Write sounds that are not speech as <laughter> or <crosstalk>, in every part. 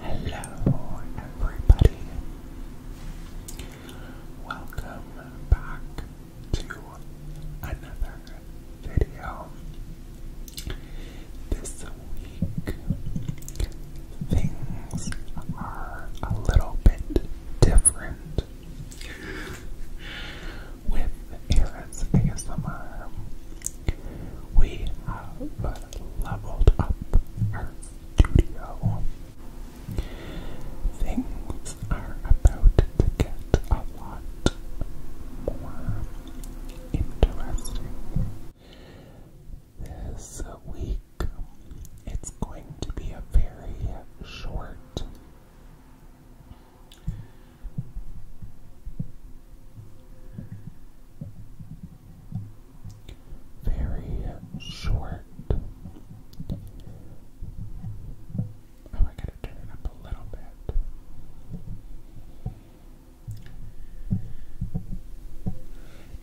Hello, everybody. Welcome back to another video. This week, things are a little bit different with Aaron's ASMR. We have leveled up our studio. Things are about to get a lot more interesting. This week, it's going to be a very short very short. Oh, I gotta turn it up a little bit.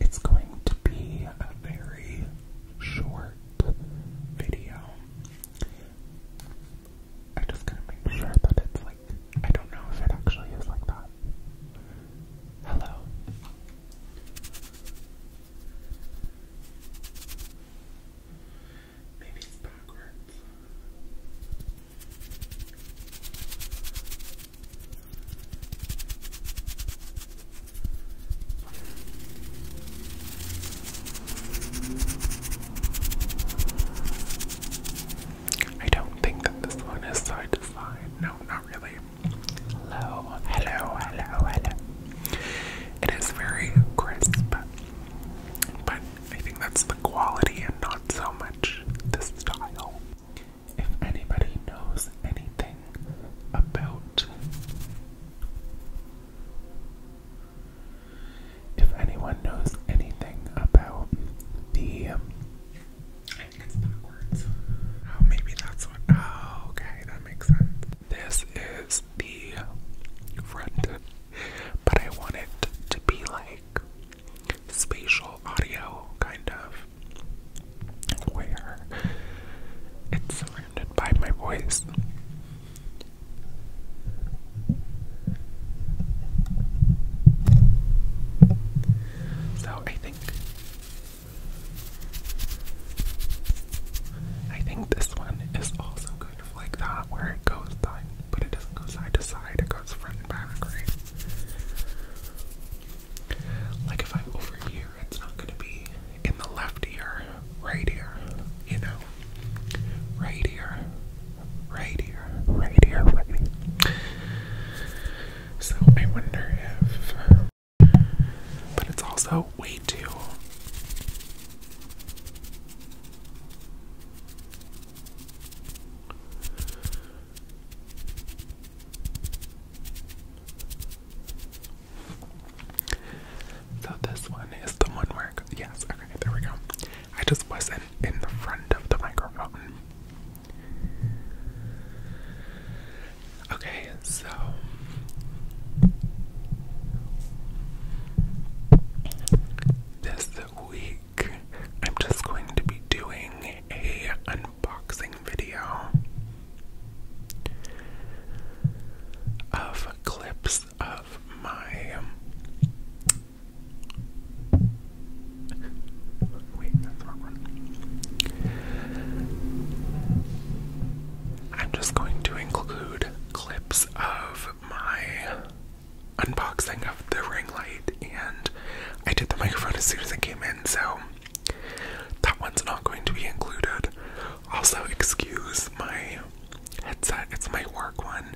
It's going to be a very short video. I just gotta make sure that it's I don't know if it actually is like that. Hello. Maybe it's backwards. I don't think that this one is side to side. No, not really. Hello, hello, hello, hello. It is very crisp, but I think that's the quality and not so much the style. If anybody knows anything about if anyone knows anything about the, um, I think it's backwards. Oh, maybe that's what. Oh, okay, that makes sense. This is the front, but I want it to be like spatial audio, kind of, where it's surrounded by my voice. So I think I think this one is also kind of like that where it goes side but it doesn't go side to side, it goes front and back, Like if I'm over here, it's not gonna be in the left ear, right ear, you know, right here right here, right here, right here. So I wonder if, but it's also way too. So this one is the one where, yes, okay, there we go. I just wasn't in the front of the microphone. Okay, so this week I'm just going to be doing a unboxing video of clips of my I'm just going to include clips of my unboxing of the ring light, and I did the microphone as soon as it came in, so that one's not going to be included. Also, excuse my headset, it's my work one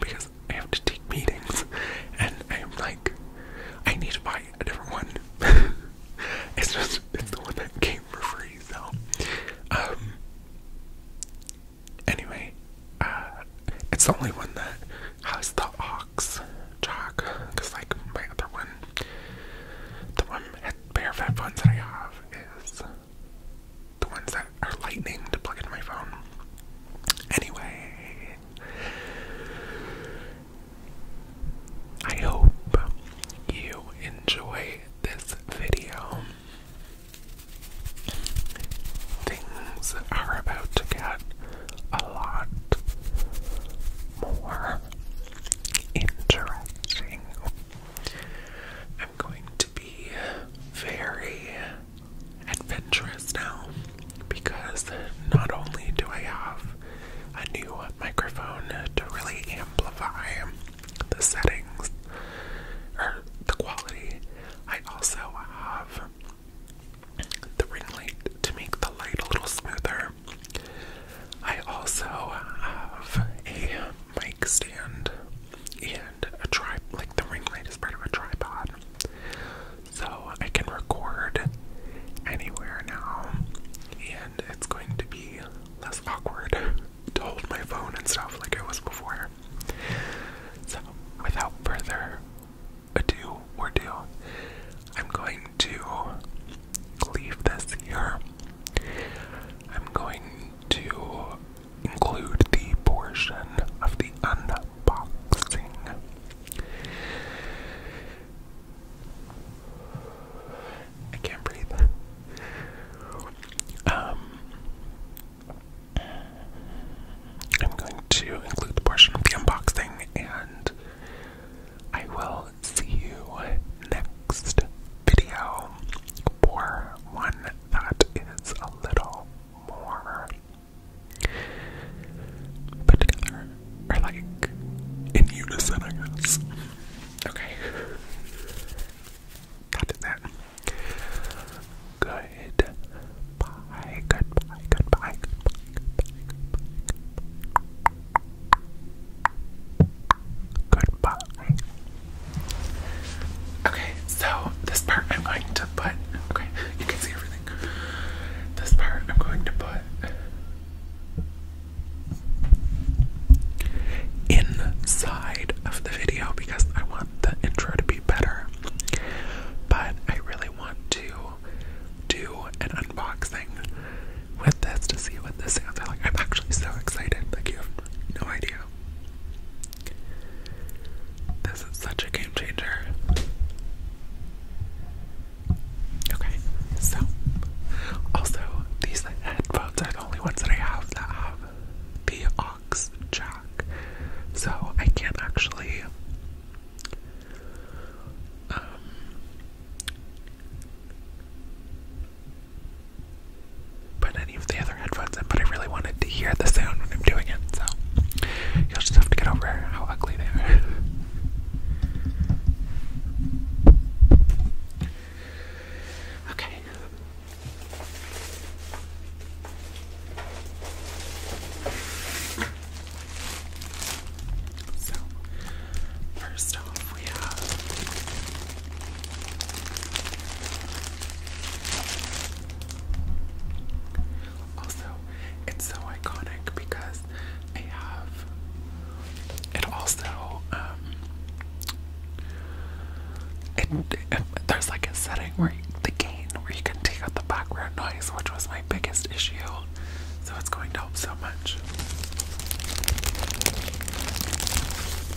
because I have to take meetings, <laughs> and I'm like, I need to buy a different one. <laughs> it's just it's the one that came for free. though. um, anyway, uh, it's the only one that has the ox jack. Cause like my other one, the one at Fat Funds that I have is the ones that are lightning to plug into my phone. Anyway, I hope you enjoy this video. Things are about to get a lot more interesting. I'm going to be very adventurous now because not only do I have a new microphone to really amplify the settings or the quality, I also have the ring light to make the light a little smoother. I also have a mic stand a tri like the ring light is part of a tripod. So I can record anywhere now and it's going to be less awkward <laughs> to hold my phone and stuff like it was before. So without further ado or do, I'm going to leave this here. I'm going to include the portion of the unboxing. I can't breathe. Um, I'm going to include the portion of the unboxing, and I will see you next video or one that is a little more put together or like in unison, I guess. Okay, that is it. Goodbye, goodbye, goodbye, goodbye. goodbye. goodbye. Okay, so this part I'm going to put. Okay, you can see everything. This part I'm going to put inside of the video because I want the intro to be better. But I really want to do an unboxing with this to see what this sounds like. I'm actually so excited, like, you have no idea. This is such a game changer. Okay, so also these headphones are the only ones that I have that have the aux jack, so I can't actually um, put any of the other headphones in, but I really wanted to hear the sound when I'm doing it, so you'll just have to get over how ugly they are. okay. So, first off, we have also, it's so iconic because I have it also, um, it, there's like a setting where the gain where you can take out the background noise, which was my biggest issue. So it's going to help so much.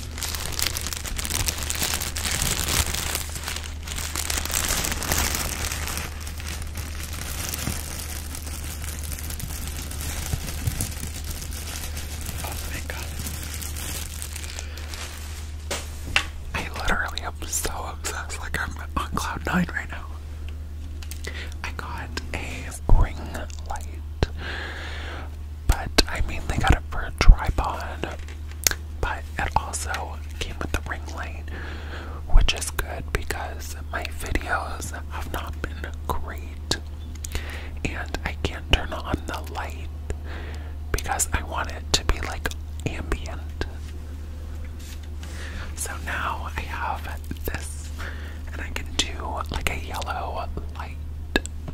Oh, thank God. I literally am so obsessed. Like, I'm on cloud nine right now. I got a ring light but I they got it for a tripod. But it also came with a ring light, which is good because my videos have not been great. And I can't turn on the light because I want it to be like ambient. So now I have this, and I can do like a yellow light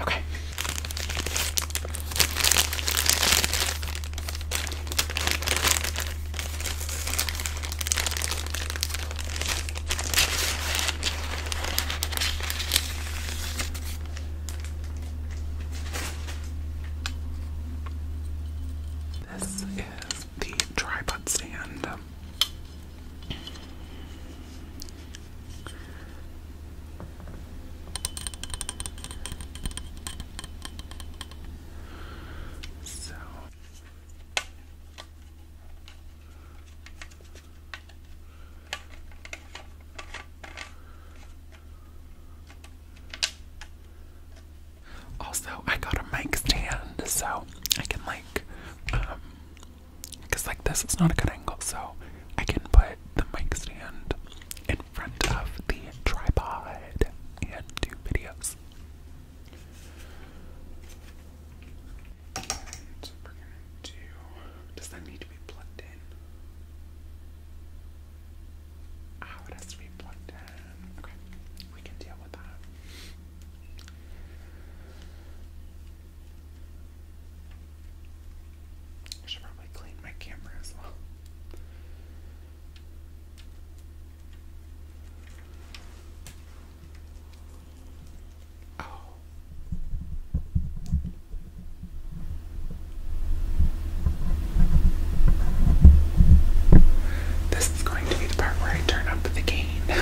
Okay. This is the tripod stand. So also I got a mic stand so I can like um, because like this is not a good angle, so I can put the mic stand in front of the tripod and do videos. Does that need to be plugged in? Oh, it has plugged in. Okay, we can deal with that. I should probably clean my camera as well. Oh. This is going to be the part where I turn up the gain. <laughs>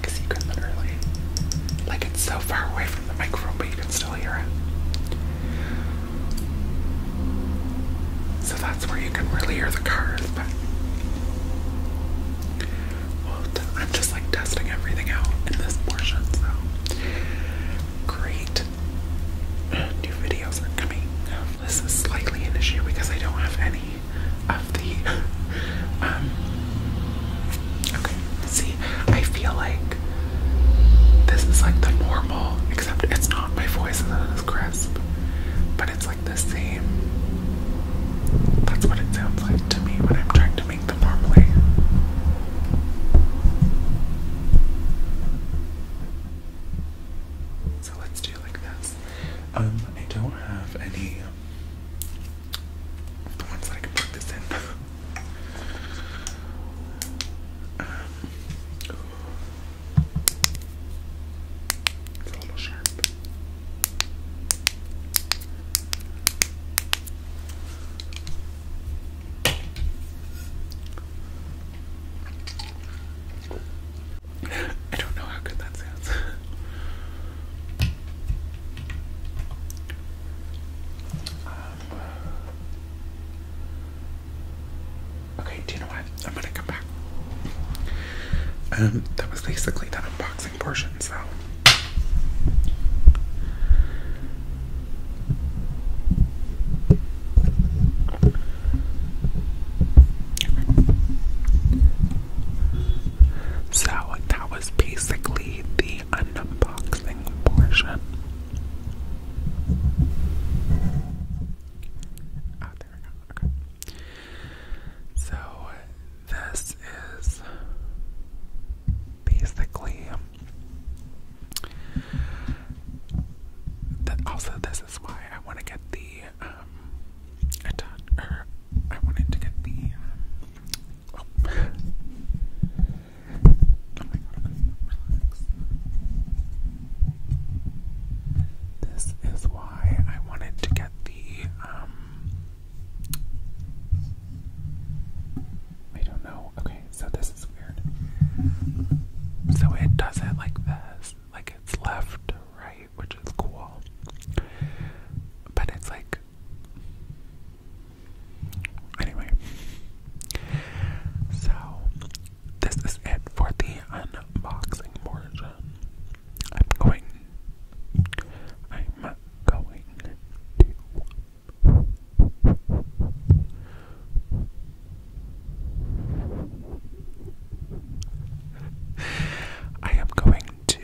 Because you can literally, like, it's so far away from the microphone, but you can still hear it. So that's where you can really hear the cars, but. I'm just like testing everything out in this portion, so. Great. <clears throat> New videos coming this is slightly an issue because I don't have any of the. <laughs> Um, okay, see, I feel like this is like the normal, except it's not. My voice isn't crisp, but it's like the same. That's what it sounds like to me when I'm trying to make them normally. So let's do like this. Um, I don't have any of um, the ones that I can put this in. <laughs> Um, a little sharp. I don't know how good that sounds. Um, okay, do you know what? I'm gonna come back. Um, that was basically the unboxing portion, so. So that was basically the unboxing portion. Oh, there we go. Okay. So this is basically also this is why I want to get the I um, thought, or I wanted to get the, um, oh. relax. This is why I wanted to get the, um, I don't know. Okay, so this is weird. So it does it like this. Like it's left, right which is cool. But it's like. Anyway. So, this is it for the unboxing portion. I'm going. I'm going to. I am going to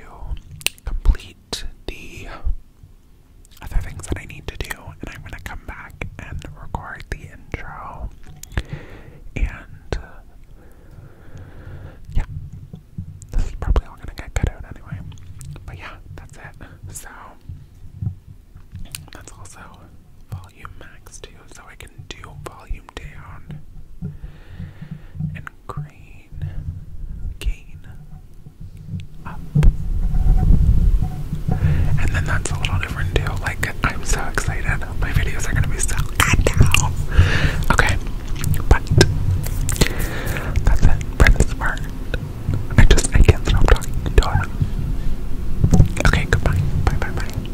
complete the other things that I need to do, and I'm going to come back and record the intro. And uh, yeah, this is probably all going to get cut out anyway. But yeah, that's it. So that's also fall volume max too, so I can do volume down and crane gain up. And then that's a little different too. Like I'm so excited. My videos are gonna be so good now. Okay, but that's it. Brenda Smart. I just I can't stop talking Okay, goodbye. Bye bye bye.